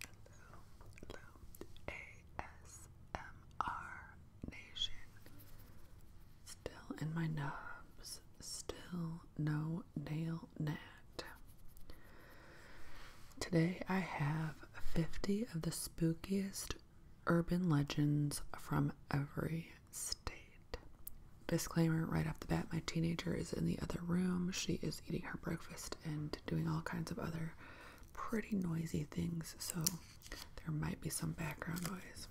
Hello, hello, ASMR Nation. Still in my nubs, still no nail nat. Today I have 50 of the spookiest urban legends from every state. Disclaimer right off the bat my teenager is in the other room. She is eating her breakfast and doing all kinds of other pretty noisy things, so there might be some background noise.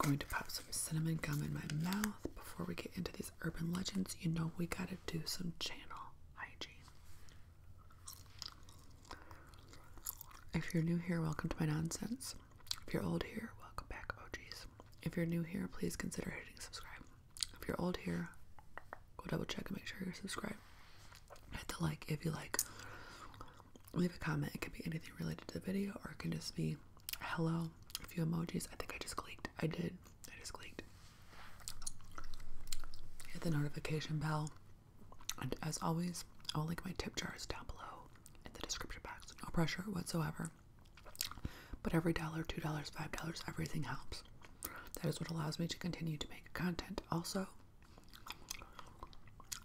I'm going to pop some cinnamon gum in my mouth before we get into these urban legends. You know, we gotta do some channel hygiene. If you're new here, welcome to my nonsense. If you're old here, welcome back, Oh OGs. If you're new here, please consider hitting subscribe. If you're old here, go double check and make sure you're subscribed. Hit the like if you like. Leave a comment. It can be anything related to the video or it can just be hello, a few emojis. I think I just clicked. I did. I just clicked. Hit the notification bell. And as always, I'll link my tip jars down below in the description box. No pressure whatsoever. But every dollar, $2, $5, everything helps. That is what allows me to continue to make content. Also,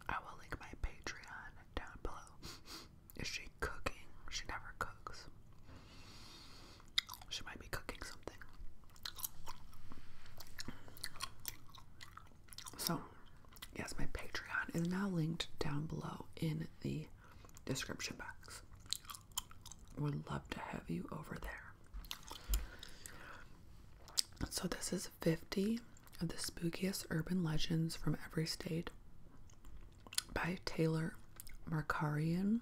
I will link my Patreon down below. Is she cooking? She never cooks. She might be cooking something. So, yes, my Patreon is now linked down below in the description box. Would love to have you over there. So, this is 50 of the spookiest urban legends from every state by Taylor Markarian,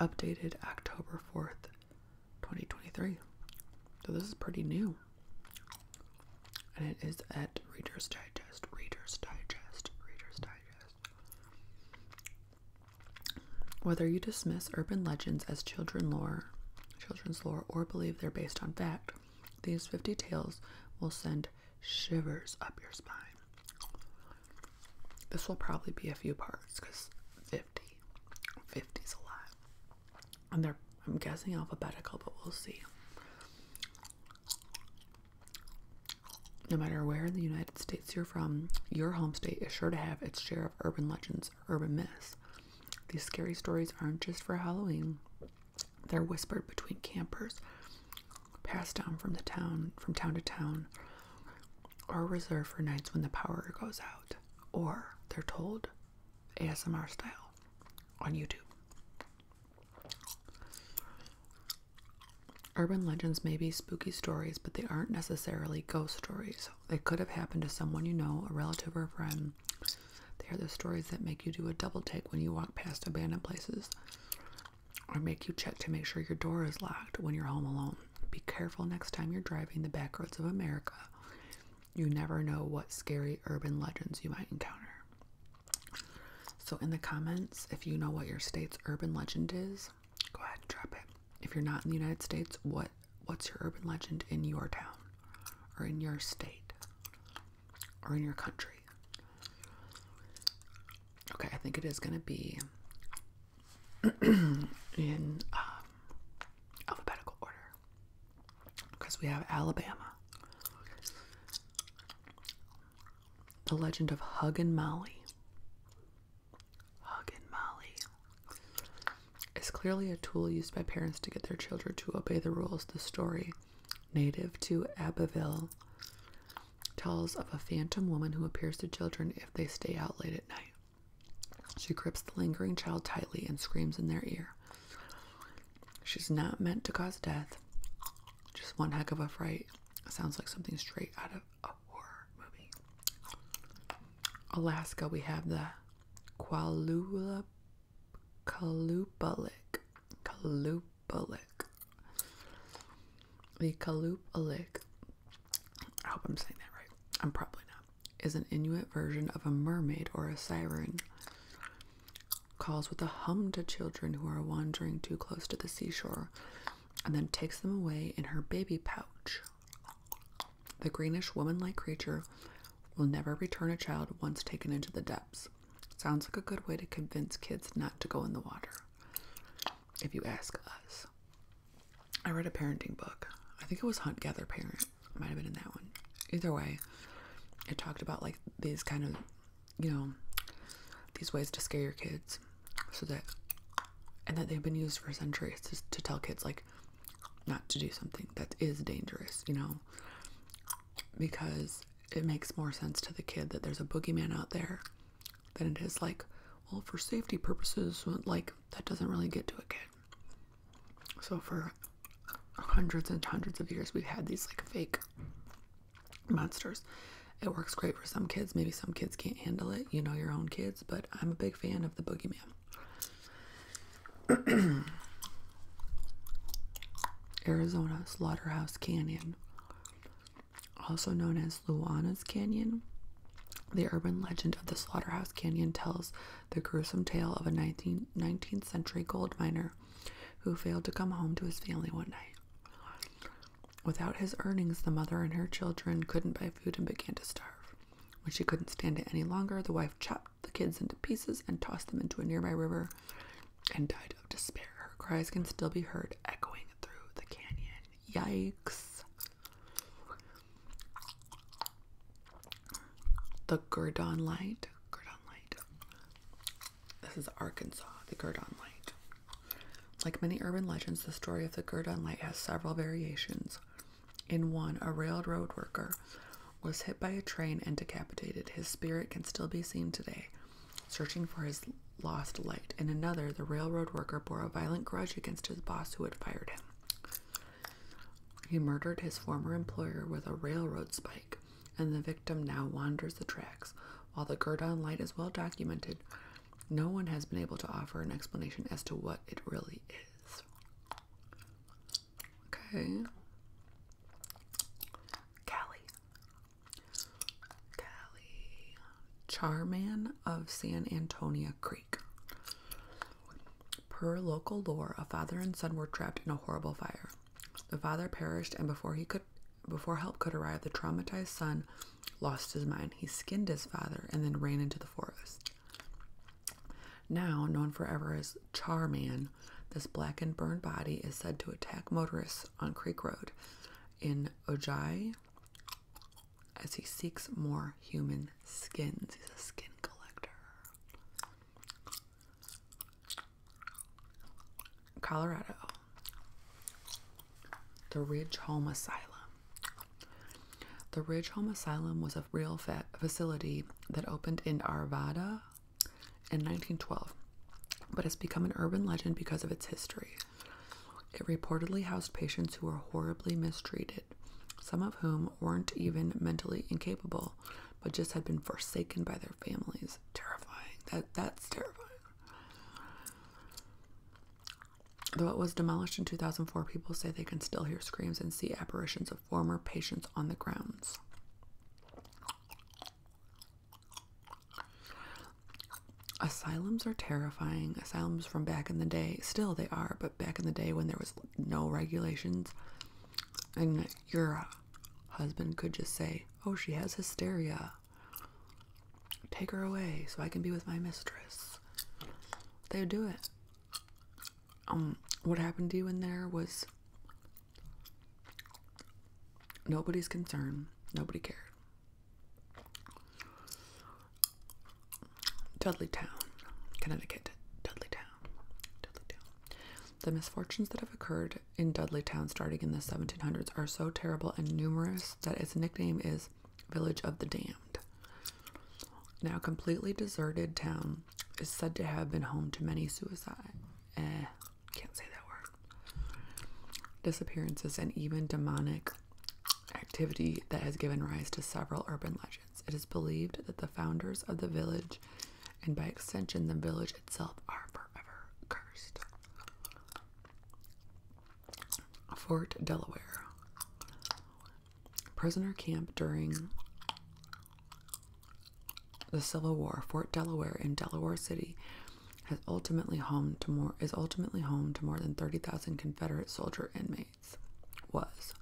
updated October 4th, 2023. So, this is pretty new and it is at Reader's Digest, Reader's Digest, Reader's Digest. Whether you dismiss urban legends as children lore, children's lore, or believe they're based on fact, these 50 tales will send shivers up your spine. This will probably be a few parts because 50. 50 is a lot. And they're, I'm guessing, alphabetical, but we'll see. No matter where in the United States you're from, your home state is sure to have its share of urban legends urban myths. These scary stories aren't just for Halloween. They're whispered between campers, passed down from town from town to town, or reserved for nights when the power goes out. Or they're told ASMR style on YouTube. Urban legends may be spooky stories, but they aren't necessarily ghost stories. They could have happened to someone you know, a relative, or a friend. They are the stories that make you do a double take when you walk past abandoned places, or make you check to make sure your door is locked when you're home alone. Be careful next time you're driving the back roads of America. You never know what scary urban legends you might encounter. So, in the comments, if you know what your state's urban legend is, go ahead and drop it. If you're not in the United States, what what's your urban legend in your town, or in your state, or in your country? Okay, I think it is gonna be in um, alphabetical order because we have Alabama. The Legend of Huggin Molly. Hug Molly is clearly a tool used by parents to get their children to obey the rules. The story, native to Abbeville, tells of a phantom woman who appears to children if they stay out late at night. She grips the lingering child tightly and screams in their ear. She's not meant to cause death. Just one heck of a fright. Sounds like something straight out of a horror movie. Alaska, we have the Kalupalik. Kalupalik. The Kalupalik. I hope I'm saying that right. I'm probably not. Is an Inuit version of a mermaid or a siren calls with a hum to children who are wandering too close to the seashore, and then takes them away in her baby pouch. The greenish woman like creature will never return a child once taken into the depths. Sounds like a good way to convince kids not to go in the water, if you ask us. I read a parenting book. I think it was Hunt Gather Parent. might have been in that one. Either way, it talked about like these kind of you know, these ways to scare your kids so that and that they've been used for centuries to, tell kids like not to do something that is dangerous, you know, because it makes more sense to the kid that there's a boogeyman out there than it is like, well, for safety purposes, like that doesn't really get to a kid. So for hundreds and hundreds of years, we've had these like fake monsters. It works great for some kids. Maybe some kids can't handle it, you know, your own kids, but I'm a big fan of the boogeyman. Arizona Slaughterhouse Canyon, also known as Luana's Canyon. The urban legend of the Slaughterhouse Canyon tells the gruesome tale of a 19th century gold miner who failed to come home to his family one night. Without his earnings, the mother and her children couldn't buy food and began to starve. When she couldn't stand it any longer, the wife chopped the kids into pieces and tossed them into a nearby river and died of despair. Her cries can still be heard echoing through the canyon. Yikes. The Gurdon Light. This is Arkansas, the Gurdon Light. Like many urban legends, the story of the Gurdon Light has several variations. In one, a railroad worker was hit by a train and decapitated. His spirit can still be seen today, searching for his lost light. In another, the railroad worker bore a violent grudge against his boss who had fired him. He murdered his former employer with a railroad spike and the victim now wanders the tracks. While the Gurdon light is well documented, no one has been able to offer an explanation as to what it really is. Okay. Callie. Callie. Charman of San Antonio Creek. Per local lore, a father and son were trapped in a horrible fire. The father perished, and before he could before help could arrive, the traumatized son lost his mind. He skinned his father and then ran into the forest. Now known forever as Charman, this black and burned body is said to attack motorists on Creek Road in Ojai as he seeks more human skins. He's a skin collector. Colorado, the Ridge Home Asylum. The Ridge Home Asylum was a real facility that opened in Arvada in 1912, but has become an urban legend because of its history. It reportedly housed patients who were horribly mistreated, some of whom weren't even mentally incapable, but just had been forsaken by their families. Terrifying. That that's terrifying. Though it was demolished in 2004, people say they can still hear screams and see apparitions of former patients on the grounds. Asylums are terrifying. Asylums from back in the day, still they are, but back in the day when there was no regulations and your husband could just say, Oh, she has hysteria. Take her away so I can be with my mistress. They would do it. Um, what happened to you in there was nobody's concern. Nobody cared. Dudley Town, Connecticut. Dudley Town. Dudley Town. The misfortunes that have occurred in Dudley Town starting in the 1700s are so terrible and numerous that its nickname is Village of the Damned. Now, completely deserted town is said to have been home to many suicide. Eh, can't say that word. Disappearances and even demonic activity that has given rise to several urban legends. It is believed that the founders of the village and by extension the village itself are forever cursed. Fort Delaware. Prisoner camp during the Civil War. Fort Delaware in Delaware City has ultimately home to more is ultimately home to more than 30,000 Confederate soldier inmates. Was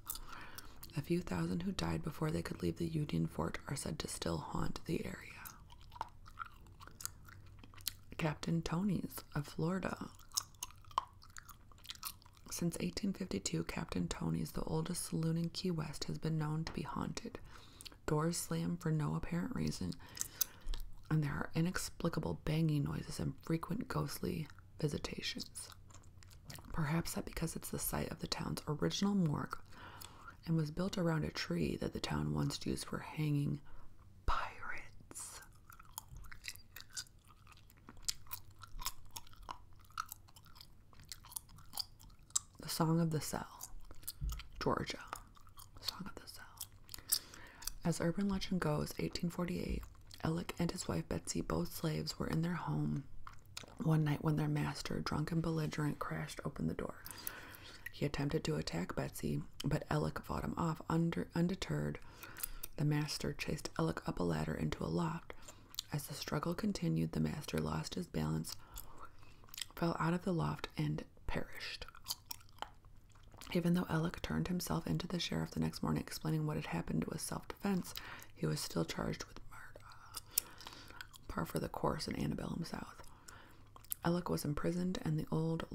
a few thousand who died before they could leave the Union fort are said to still haunt the area. Captain Tony's of Florida. Since 1852, Captain Tony's, the oldest saloon in Key West, has been known to be haunted. Doors slam for no apparent reason, and there are inexplicable banging noises and frequent ghostly visitations. Perhaps that because it's the site of the town's original morgue and was built around a tree that the town once used for hanging pirates. The Song of the Cell, Georgia. As urban legend goes, 1848, Elick and his wife Betsy, both slaves, were in their home one night when their master, drunk and belligerent, crashed open the door. He attempted to attack Betsy, but Alec fought him off. undeterred, the master chased Alec up a ladder into a loft. As the struggle continued, the master lost his balance, fell out of the loft, and perished. Even though Alec turned himself into the sheriff the next morning, explaining what had happened was self-defense, he was still charged with murder. Par for the course in Annabellum South. Alec was imprisoned in the old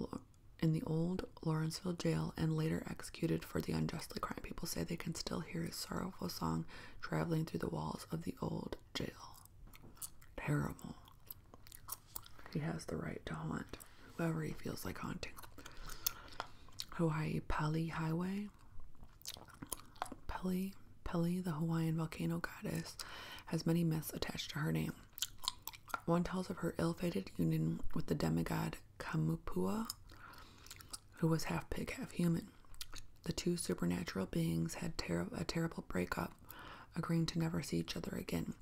in the old Lawrenceville jail and later executed for the unjustly crime. People say they can still hear his sorrowful song traveling through the walls of the old jail. Terrible. He has the right to haunt whoever he feels like haunting. Hawaii Pali Highway. Pali, Pali, the Hawaiian volcano goddess, has many myths attached to her name. One tells of her ill-fated union with the demigod Kamupua, who was half pig, half human. The two supernatural beings had a terrible breakup, agreeing to never see each other again.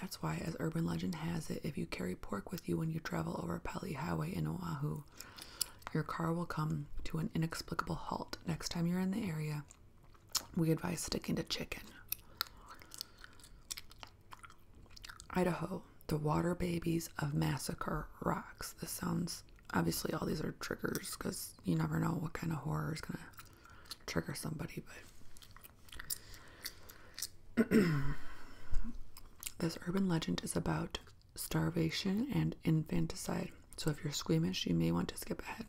That's why, as urban legend has it, if you carry pork with you when you travel over Pali Highway in Oahu, your car will come to an inexplicable halt next time you're in the area we advise sticking to chicken. Idaho, the water babies of massacre rocks. This sounds obviously all these are triggers because you never know what kind of horror is gonna trigger somebody, but this urban legend is about starvation and infanticide. So if you're squeamish, you may want to skip ahead.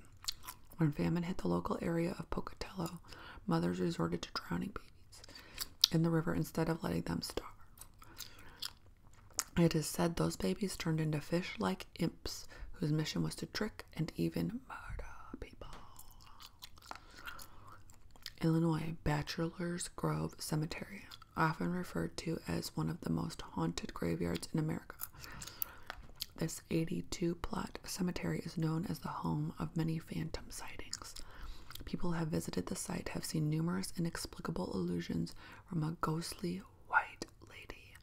When famine hit the local area of Pocatello, mothers resorted to drowning babies in the river instead of letting them starve. It is said those babies turned into fish like imps whose mission was to trick and even murder people. Illinois Bachelor's Grove Cemetery, often referred to as one of the most haunted graveyards in America, this 82 plot cemetery is known as the home of many phantom sightings. People who have visited the site have seen numerous inexplicable illusions from a ghostly white lady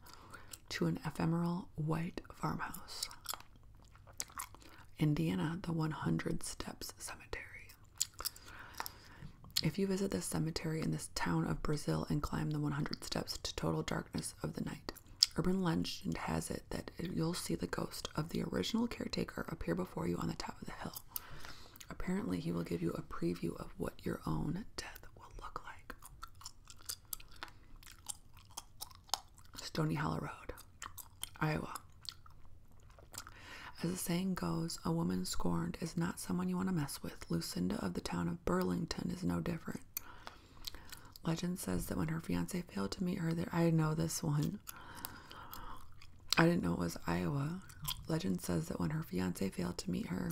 to an ephemeral white farmhouse. Indiana, the 100 Steps Cemetery. If you visit this cemetery in this town of Brazil and climb the 100 steps to total darkness of the night, Urban legend has it that you'll see the ghost of the original caretaker appear before you on the top of the hill. Apparently, he will give you a preview of what your own death will look like. Stony Hollow Road, Iowa. As the saying goes, a woman scorned is not someone you want to mess with. Lucinda of the town of Burlington is no different. Legend says that when her fiance failed to meet her, there I know this one. I didn't know it was Iowa. Legend says that when her fiance failed to meet her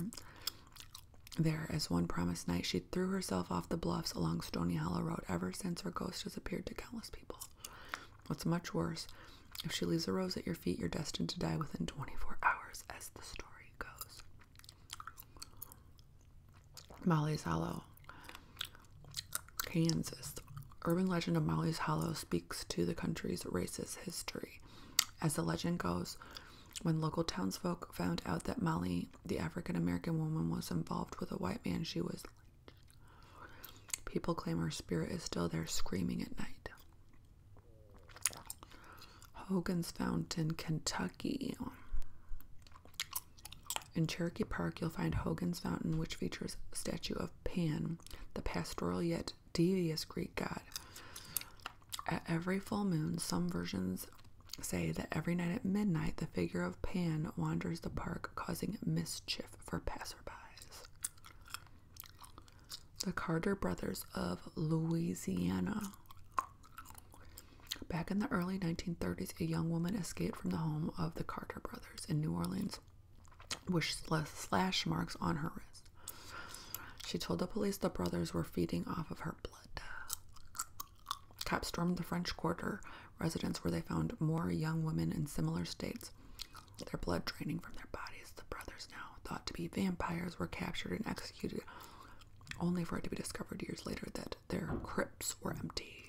there as one promised night, she threw herself off the bluffs along Stony Hollow Road. Ever since her ghost has appeared to countless people. What's much worse, if she leaves a rose at your feet, you're destined to die within 24 hours, as the story goes. Molly's Hollow. Kansas. Urban legend of Molly's Hollow speaks to the country's racist history. As the legend goes, when local townsfolk found out that Molly, the African American woman, was involved with a white man, she was People claim her spirit is still there screaming at night. Hogan's Fountain, Kentucky. In Cherokee Park, you'll find Hogan's Fountain, which features a statue of Pan, the pastoral yet devious Greek god. At every full moon, some versions say that every night at midnight, the figure of Pan wanders the park, causing mischief for passerbys. The Carter Brothers of Louisiana. Back in the early 1930s, a young woman escaped from the home of the Carter brothers in New Orleans, with slash marks on her wrist. She told the police the brothers were feeding off of her blood. Cops stormed the French Quarter residence where they found more young women in similar states, their blood draining from their bodies. The brothers, now thought to be vampires, were captured and executed only for it to be discovered years later that their crypts were empty.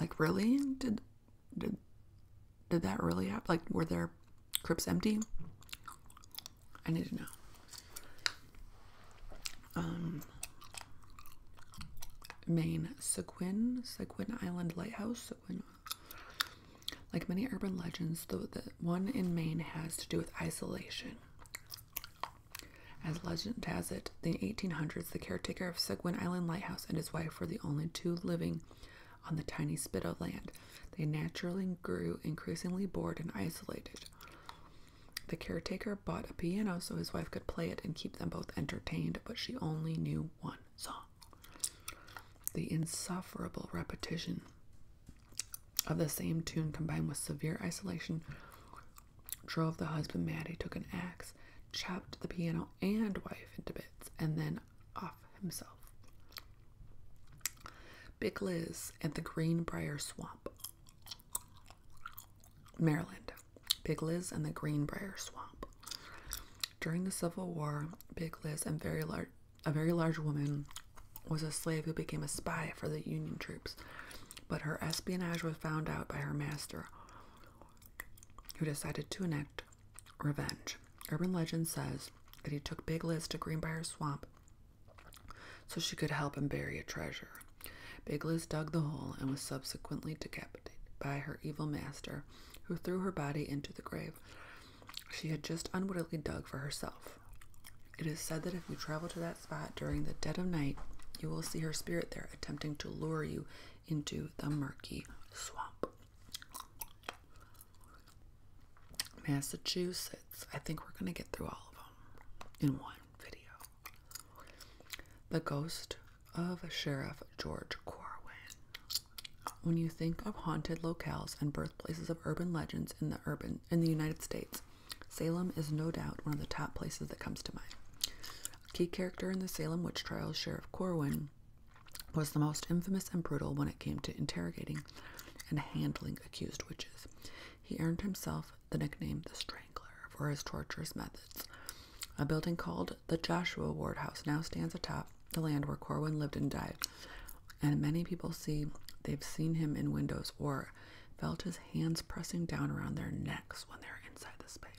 Like really? Did did did that really happen? Like were their crypts empty? I need to know. Um Maine, Sequin, Sequin Island Lighthouse, Sequin. Like many urban legends, the, the one in Maine has to do with isolation. As legend has it, in the 1800s, the caretaker of Seguin Island Lighthouse and his wife were the only two living on the tiny spit of land. They naturally grew increasingly bored and isolated. The caretaker bought a piano so his wife could play it and keep them both entertained, but she only knew one song. The insufferable repetition of the same tune combined with severe isolation drove the husband mad. He took an axe, chopped the piano and wife into bits, and then off himself. Big Liz at the Greenbrier Swamp, Maryland. Big Liz and the Greenbrier Swamp. During the Civil War, Big Liz a very large woman was a slave who became a spy for the Union troops but her espionage was found out by her master, who decided to enact revenge. Urban legend says that he took Big Liz to Greenbrier Swamp so she could help him bury a treasure. Big Liz dug the hole and was subsequently decapitated by her evil master, who threw her body into the grave she had just unwittingly dug for herself. It is said that if you travel to that spot during the dead of night, you will see her spirit there attempting to lure you into the murky swamp. Massachusetts. I think we're going to get through all of them in one video. The ghost of Sheriff George Corwin. When you think of haunted locales and birthplaces of urban legends in the urban in the United States, Salem is no doubt one of the top places that comes to mind. key character in the Salem witch trials, Sheriff Corwin, was the most infamous and brutal when it came to interrogating and handling accused witches. He earned himself the nickname the Strangler for his torturous methods. A building called the Joshua Ward House now stands atop the land where Corwin lived and died, and many people see they've seen him in windows or felt his hands pressing down around their necks when they were inside the space.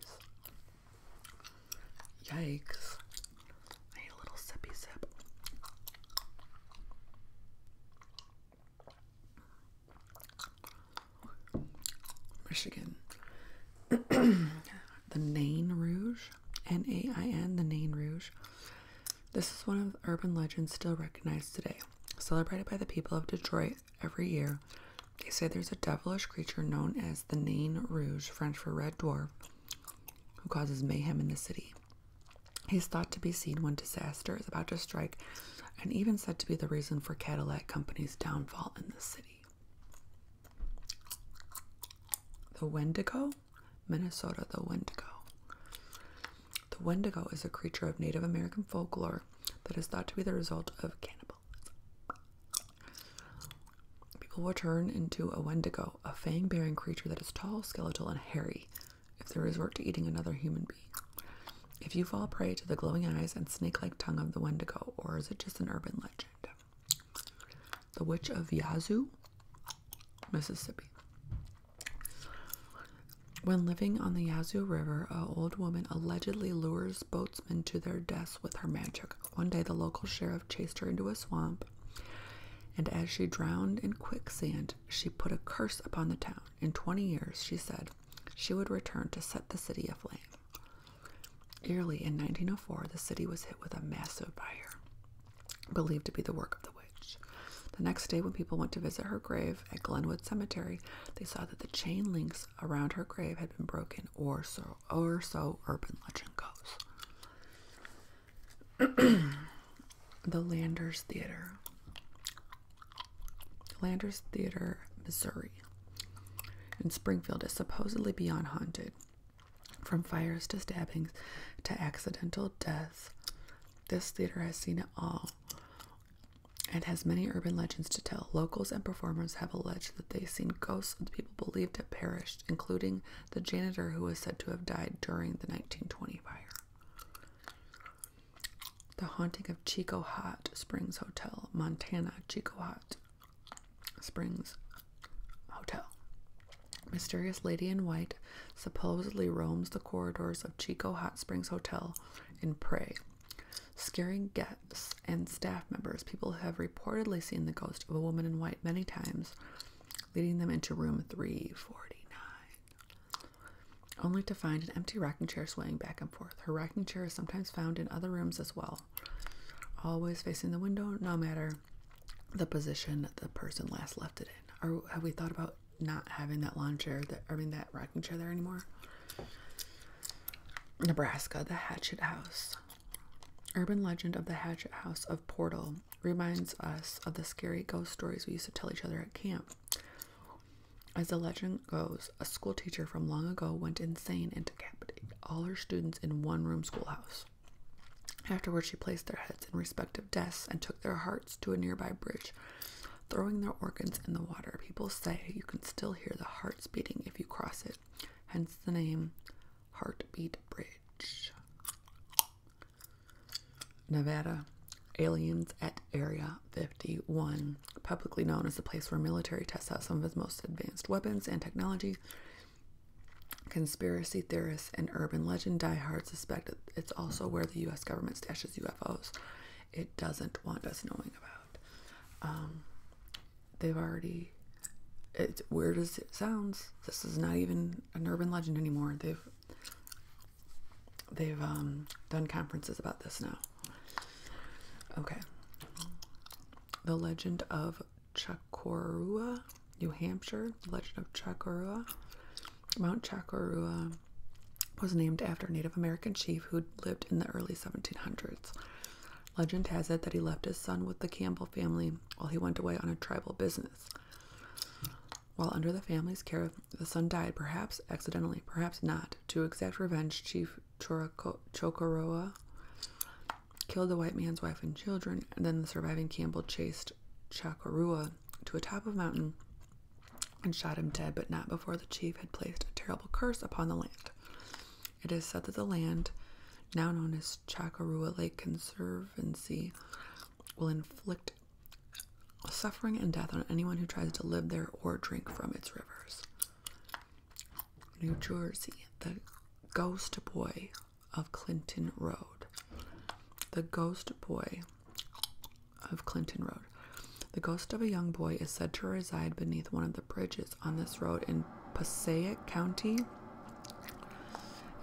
Yikes. a little sippy sip. Michigan. the Nain Rouge, N A I N, the Nain Rouge. This is one of urban legends still recognized today, celebrated by the people of Detroit every year. They say there's a devilish creature known as the Nain Rouge, French for red dwarf, who causes mayhem in the city. He's thought to be seen when disaster is about to strike, and even said to be the reason for Cadillac Company's downfall in the city. The Wendigo, Minnesota, the Wendigo. The Wendigo is a creature of Native American folklore that is thought to be the result of cannibalism. People will turn into a Wendigo, a fang bearing creature that is tall, skeletal, and hairy, if they resort to eating another human being. If you fall prey to the glowing eyes and snake like tongue of the Wendigo, or is it just an urban legend? The Witch of Yazoo, Mississippi. When living on the Yazoo River, a old woman allegedly lures boatsmen to their deaths with her magic. One day, the local sheriff chased her into a swamp, and as she drowned in quicksand, she put a curse upon the town. In 20 years, she said, she would return to set the city aflame. Early in 1904, the city was hit with a massive fire, believed to be the work of the witch. The next day, when people went to visit her grave, at Glenwood Cemetery, they saw that the chain links around her grave had been broken, or so, or so urban legend goes. the Landers Theater, Landers Theater, Missouri, in Springfield, is supposedly beyond haunted. From fires to stabbings to accidental deaths, this theater has seen it all. It has many urban legends to tell. Locals and performers have alleged that they've seen ghosts of people believed to have perished, including the janitor who was said to have died during the 1920 fire. The haunting of Chico Hot Springs Hotel, Montana, Chico Hot Springs Hotel. Mysterious lady in white supposedly roams the corridors of Chico Hot Springs Hotel in prey Scaring guests and staff members, people have reportedly seen the ghost of a woman in white many times, leading them into room 349, only to find an empty rocking chair swaying back and forth. Her rocking chair is sometimes found in other rooms as well, always facing the window, no matter the position the person last left it in. Or have we thought about not having that lawn chair that I mean that rocking chair there anymore. Nebraska, the Hatchet House. Urban legend of the Hatchet House of Portal reminds us of the scary ghost stories we used to tell each other at camp. As the legend goes, a school teacher from long ago went insane and decapitated all her students in one room schoolhouse. Afterwards, she placed their heads in respective desks and took their hearts to a nearby bridge throwing their organs in the water. People say you can still hear the hearts beating if you cross it, hence the name Heartbeat Bridge. Nevada. Aliens at Area 51, publicly known as the place where military tests out some of its most advanced weapons and technology. Conspiracy theorists and urban legend diehards suspect it's also where the U.S. government stashes UFOs it doesn't want us knowing about. Um, they've already. It's weird as it sounds. This is not even an urban legend anymore. They've they've um, done conferences about this now. Okay. The legend of Chakorua, New Hampshire. The legend of Chakorua. Mount Chakorua was named after a Native American chief who lived in the early 1700s. Legend has it that he left his son with the Campbell family while he went away on a tribal business. While under the family's care, the son died, perhaps accidentally, perhaps not. To exact revenge, Chief Chokoroa killed the white man's wife and children, and then the surviving Campbell chased Chakarua to a top of a mountain and shot him dead, but not before the chief had placed a terrible curse upon the land. It is said that the land, now known as Chakarua Lake Conservancy, will inflict suffering and death on anyone who tries to live there or drink from its rivers. New Jersey, the ghost boy of Clinton Road. The ghost boy of Clinton Road. The ghost of a young boy is said to reside beneath one of the bridges on this road in Passaic County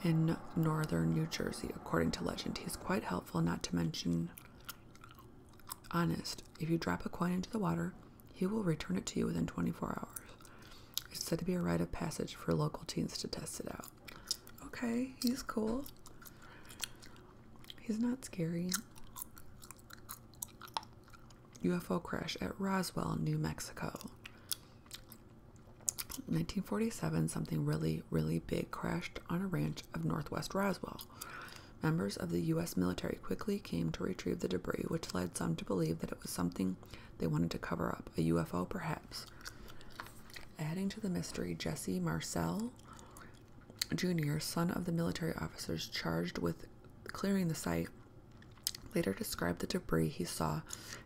in northern New Jersey, according to legend. He's quite helpful, not to mention honest. If you drop a coin into the water, he will return it to you within 24 hours. It's said to be a rite of passage for local teens to test it out. Okay, he's cool. He's not scary. UFO crash at Roswell, New Mexico. 1947, something really, really big crashed on a ranch of northwest Roswell. Members of the U.S. military quickly came to retrieve the debris, which led some to believe that it was something they wanted to cover up a UFO, perhaps. Adding to the mystery, Jesse Marcel Jr., son of the military officers charged with clearing the site, later described the debris he saw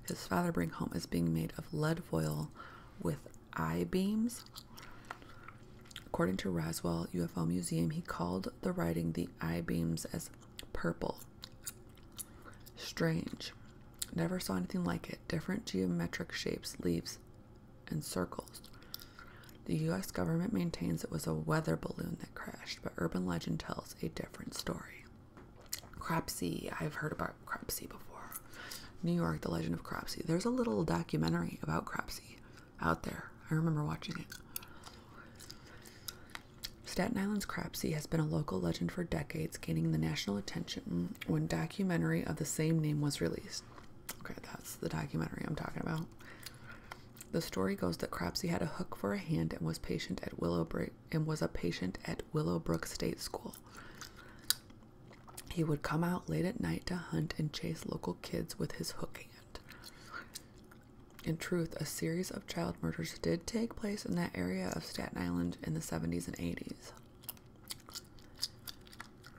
his father bring home as being made of lead foil with I beams. According to Roswell UFO Museum, he called the writing the I beams as purple. Strange. Never saw anything like it. Different geometric shapes, leaves, in circles. The U.S. government maintains it was a weather balloon that crashed, but urban legend tells a different story. Cropsey, I've heard about Cropsey before. New York, the legend of Cropsey. There's a little documentary about Cropsey out there. I remember watching it. Staten Island's Cropsey has been a local legend for decades, gaining the national attention when documentary of the same name was released. Okay, that's the documentary I'm talking about. The story goes that Crabsey had a hook for a hand and was patient at Willowbrook and was a patient at Willowbrook State School. He would come out late at night to hunt and chase local kids with his hook hand. In truth, a series of child murders did take place in that area of Staten Island in the 70s and 80s.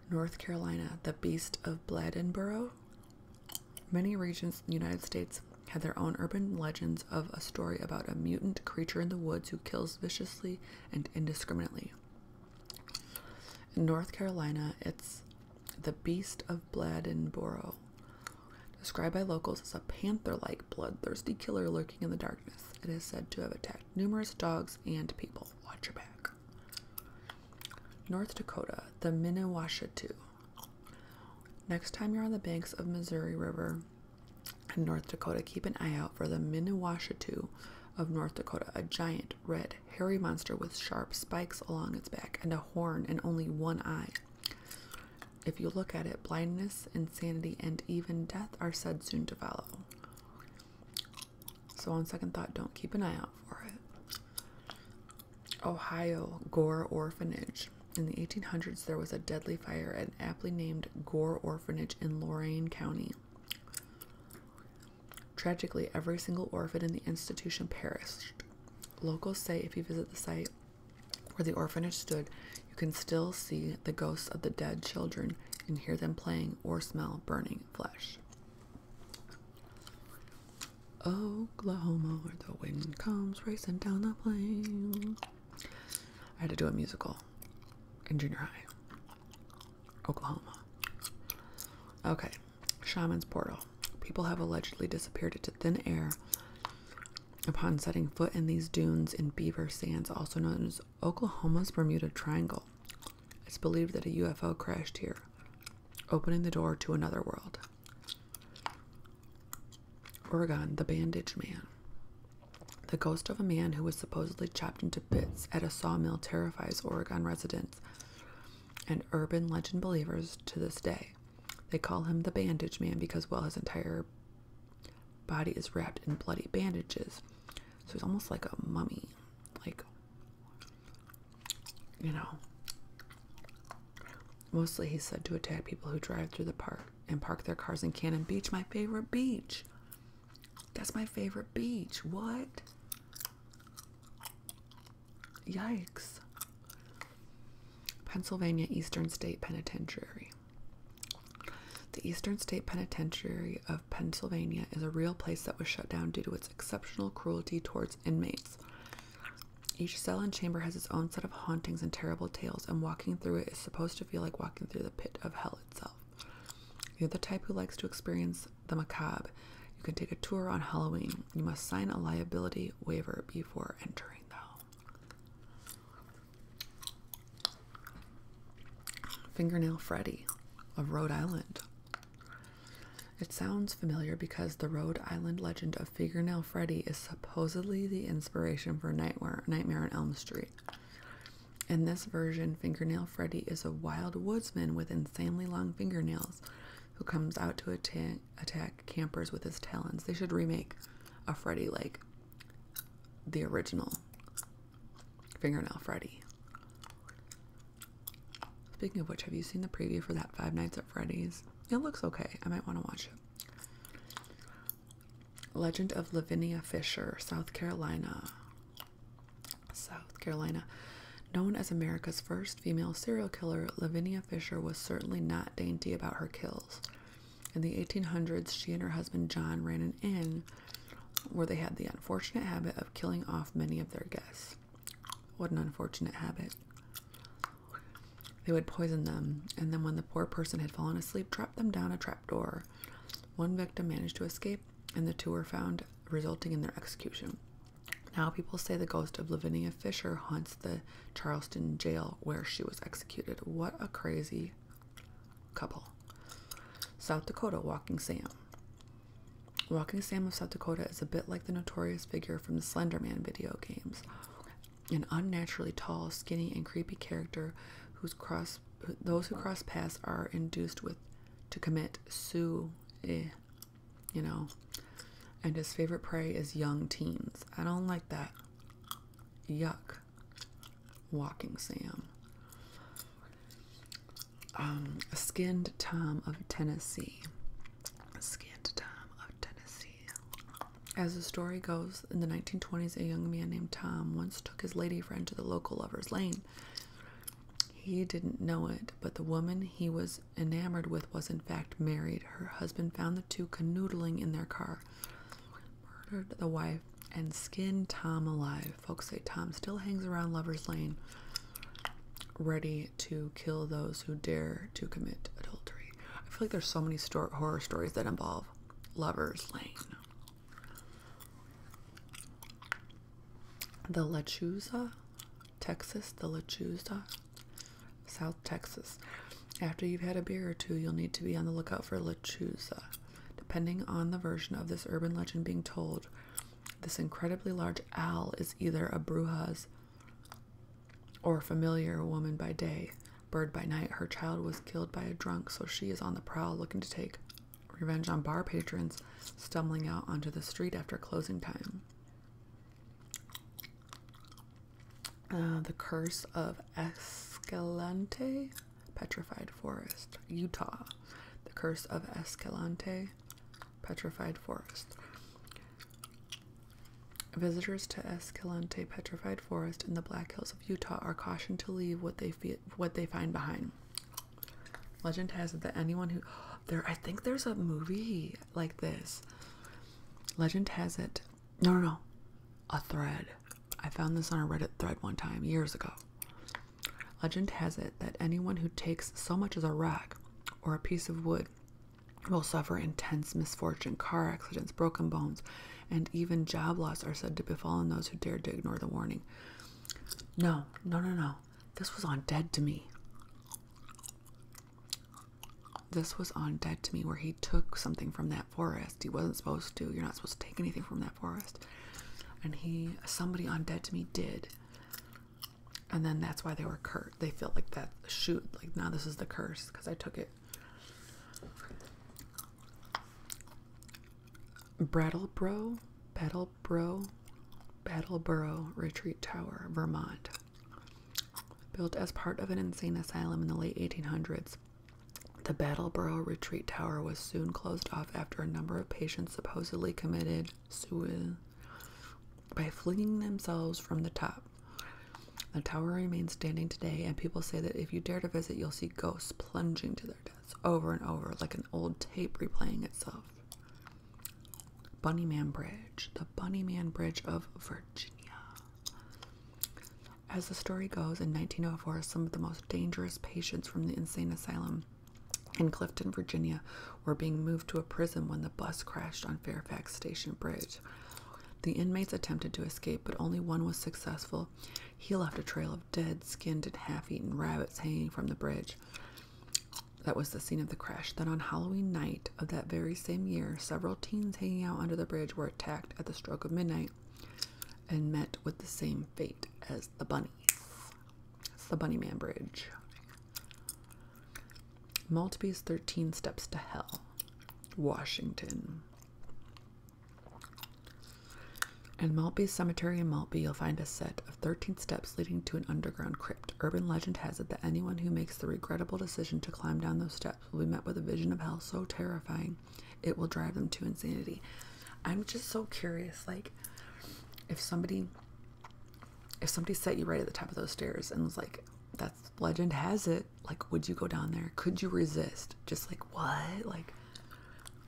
North Carolina, the Beast of Bladdenboro. Many regions in the United States have their own urban legends of a story about a mutant creature in the woods who kills viciously and indiscriminately. In North Carolina, it's the Beast of Bladdenboro, described by locals as a panther-like bloodthirsty killer lurking in the darkness. It is said to have attacked numerous dogs and people. Watch your back. North Dakota, the Minnewashatu. Next time you're on the banks of Missouri River in North Dakota, keep an eye out for the Minnewashatu of North Dakota, a giant, red, hairy monster with sharp spikes along its back and a horn and only one eye. If you look at it, blindness, insanity, and even death are said soon to follow. So, on second thought, don't keep an eye out for it. Ohio Gore Orphanage. In the 1800s, there was a deadly fire at aptly named Gore Orphanage in Lorain County. Tragically, every single orphan in the institution perished. Locals say if you visit the site where the orphanage stood, you can still see the ghosts of the dead children and hear them playing or smell burning flesh. Oklahoma, where the wind comes racing down the plain. I had to do a musical in junior high. Oklahoma. Okay, Shaman's Portal. People have allegedly disappeared into thin air upon setting foot in these dunes in Beaver Sands, also known as Oklahoma's Bermuda Triangle. It's believed that a UFO crashed here opening the door to another world. Oregon, the Bandaged Man. The ghost of a man who was supposedly chopped into bits at a sawmill terrifies Oregon residents and urban legend believers to this day. They call him the Bandaged Man because, well, his entire body is wrapped in bloody bandages. So he's almost like a mummy, like you know, mostly he's said to attack people who drive through the park and park their cars in Cannon Beach, my favorite beach. That's my favorite beach. What? Yikes. Pennsylvania Eastern State Penitentiary. The Eastern State Penitentiary of Pennsylvania is a real place that was shut down due to its exceptional cruelty towards inmates. Each cell and chamber has its own set of hauntings and terrible tales, and walking through it is supposed to feel like walking through the pit of hell itself. You're the type who likes to experience the macabre. You can take a tour on Halloween. You must sign a liability waiver before entering, though. Fingernail Freddy of Rhode Island. It sounds familiar because the Rhode Island legend of Fingernail Freddy is supposedly the inspiration for Nightmare, in Elm Street. In this version, Fingernail Freddy is a wild woodsman with insanely long fingernails who comes out to attack campers with his talons. They should remake a Freddy like the original Fingernail Freddy. Speaking of which, have you seen the preview for that Five Nights at Freddy's? It looks okay. I might want to watch it. Legend of Lavinia Fisher, South Carolina. South Carolina. Known as America's first female serial killer, Lavinia Fisher was certainly not dainty about her kills. In the 1800s, she and her husband John ran an inn where they had the unfortunate habit of killing off many of their guests. What an unfortunate habit. They would poison them, and then when the poor person had fallen asleep, drop them down a trap door. One victim managed to escape, and the two were found, resulting in their execution. Now people say the ghost of Lavinia Fisher haunts the Charleston jail where she was executed. What a crazy couple. South Dakota Walking Sam. Walking Sam of South Dakota is a bit like the notorious figure from the Slenderman video games, an unnaturally tall, skinny, and creepy character whose cross those who cross paths are induced with to commit su, eh, you know, and his favorite prey is young teens. I don't like that. Yuck. Walking Sam. Um, skinned Tom of Tennessee scant of Tennessee. As the story goes, in the 1920s, a young man named Tom once took his lady friend to the local lover's lane. He didn't know it, but the woman he was enamored with was in fact married. Her husband found the two canoodling in their car, murdered the wife, and skinned Tom alive. Folks say Tom still hangs around Lover's Lane ready to kill those who dare to commit adultery. I feel like there's so many horror stories that involve lovers lane. The Lechuza, Texas, the Lechuza, South Texas. After you've had a beer or two, you'll need to be on the lookout for Lechuza. Depending on the version of this urban legend being told, this incredibly large owl is either a brujas or familiar woman by day, bird by night. Her child was killed by a drunk, so she is on the prowl looking to take revenge on bar patrons stumbling out onto the street after closing time. Uh, the Curse of Escalante, Petrified Forest, Utah. The Curse of Escalante Petrified Forest. Visitors to Escalante Petrified Forest in the Black Hills of Utah are cautioned to leave what they feel, what they find behind. Legend has it that anyone who there I think there's a movie like this. Legend has it. No, no, A thread. I found this on a Reddit thread one time years ago. Legend has it that anyone who takes so much as a rock or a piece of wood will suffer intense misfortune. Car accidents, broken bones, and even job loss are said to befall those who dare to ignore the warning. No, no, no, no. This was on Dead to Me. This was on Dead to Me, where he took something from that forest. He wasn't supposed to. You're not supposed to take anything from that forest. And he, somebody on Dead to Me did and then that's why they were curt. They felt like that shoot, like now this is the curse because I took it. Battleboro, Battleboro, Battleboro Retreat Tower, Vermont. Built as part of an insane asylum in the late 1800s, the Battleboro Retreat Tower was soon closed off after a number of patients supposedly committed Suez by flinging themselves from the top. The tower remains standing today, and people say that if you dare to visit, you'll see ghosts plunging to their deaths over and over, like an old tape replaying itself. Bunnyman Bridge, the Bunnyman Bridge of Virginia. As the story goes, in 1904, some of the most dangerous patients from the insane asylum in Clifton, Virginia, were being moved to a prison when the bus crashed on Fairfax Station Bridge. The inmates attempted to escape, but only one was successful. He left a trail of dead, skinned, and half eaten rabbits hanging from the bridge. That was the scene of the crash. Then on Halloween night of that very same year, several teens hanging out under the bridge were attacked at the stroke of midnight and met with the same fate as the bunnies. It's the Bunny Man Bridge. Maltby's 13 Steps to Hell, Washington. In Maltby Cemetery in Maltby, you'll find a set of 13 steps leading to an underground crypt. Urban legend has it that anyone who makes the regrettable decision to climb down those steps will be met with a vision of hell so terrifying it will drive them to insanity. I'm just so curious, like, if somebody if somebody set you right at the top of those stairs and was like, that's legend has it, like, would you go down there? Could you resist? Just like, what? Like,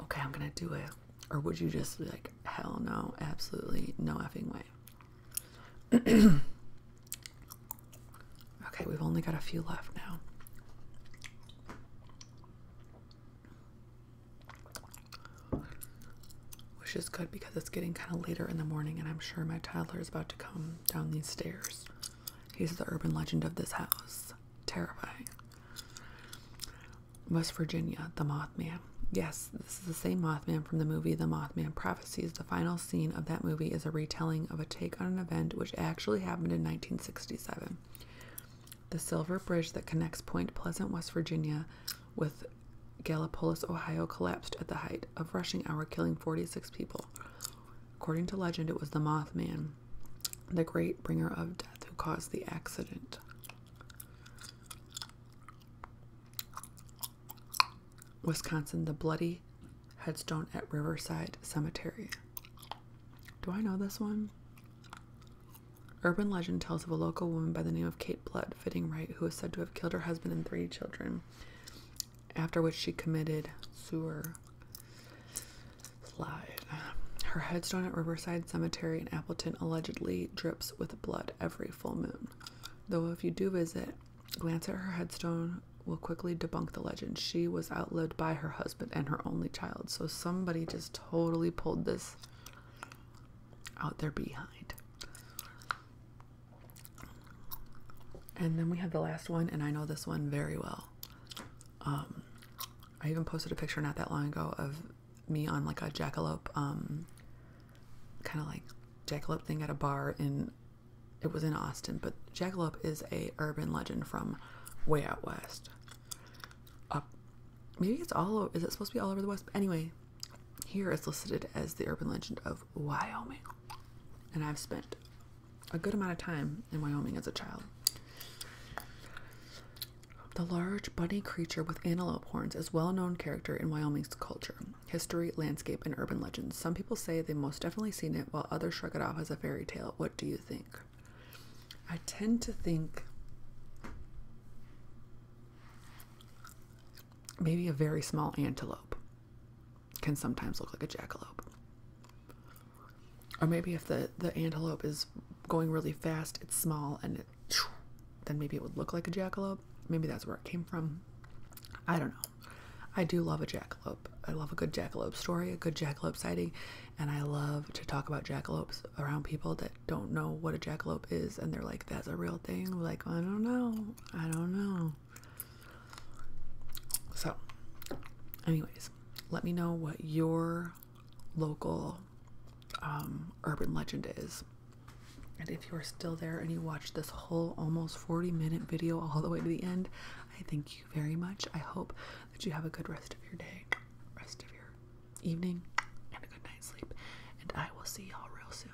okay, I'm gonna do it. Or would you just be like, hell no, absolutely no effing way? okay, we've only got a few left now which is good because it's getting kind of later in the morning, and I'm sure my toddler is about to come down these stairs. He's the urban legend of this house. Terrifying. West Virginia, The Mothman. Yes, this is the same Mothman from the movie The Mothman Prophecies. The final scene of that movie is a retelling of a take on an event which actually happened in 1967. The silver bridge that connects Point Pleasant, West Virginia, with Gallipolis, Ohio, collapsed at the height of rushing hour, killing 46 people. According to legend, it was the Mothman, the great bringer of death, who caused the accident. Wisconsin, the bloody headstone at Riverside Cemetery. Do I know this one? Urban legend tells of a local woman by the name of Kate Blood, fitting right, who is said to have killed her husband and three children after which she committed suicide. Her headstone at Riverside Cemetery in Appleton allegedly drips with blood every full moon. Though, if you do visit, glance at her headstone will quickly debunk the legend. She was outlived by her husband and her only child, so somebody just totally pulled this out there behind. And then we have the last one, and I know this one very well. Um, I even posted a picture not that long ago of me on like a jackalope, um, kind of like jackalope thing at a bar in. It was in Austin, but jackalope is a urban legend from way out west. Up, maybe it's all. Is it supposed to be all over the west? anyway, here it's listed as the urban legend of Wyoming. And I've spent a good amount of time in Wyoming as a child. The large bunny creature with antelope horns is a well known character in Wyoming's culture, history, landscape, and urban legends. Some people say they've most definitely seen it, while others shrug it off as a fairy tale. What do you think? I tend to think maybe a very small antelope can sometimes look like a jackalope. Or maybe if the, the antelope is going really fast, it's small, and then maybe it would look like a jackalope. Maybe that's where it came from. I don't know. I do love a jackalope. I love a good jackalope story, a good jackalope sighting, and I love to talk about jackalopes around people that don't know what a jackalope is and they're like, that's a real thing. like, I don't know. I don't know. So, anyways, let me know what your local um, urban legend is. And if you are still there and you watched this whole almost 40 minute video all the way to the end, I thank you very much. I hope that you have a good rest of your day, rest of your evening, and a good night's sleep. And I will see y'all real soon.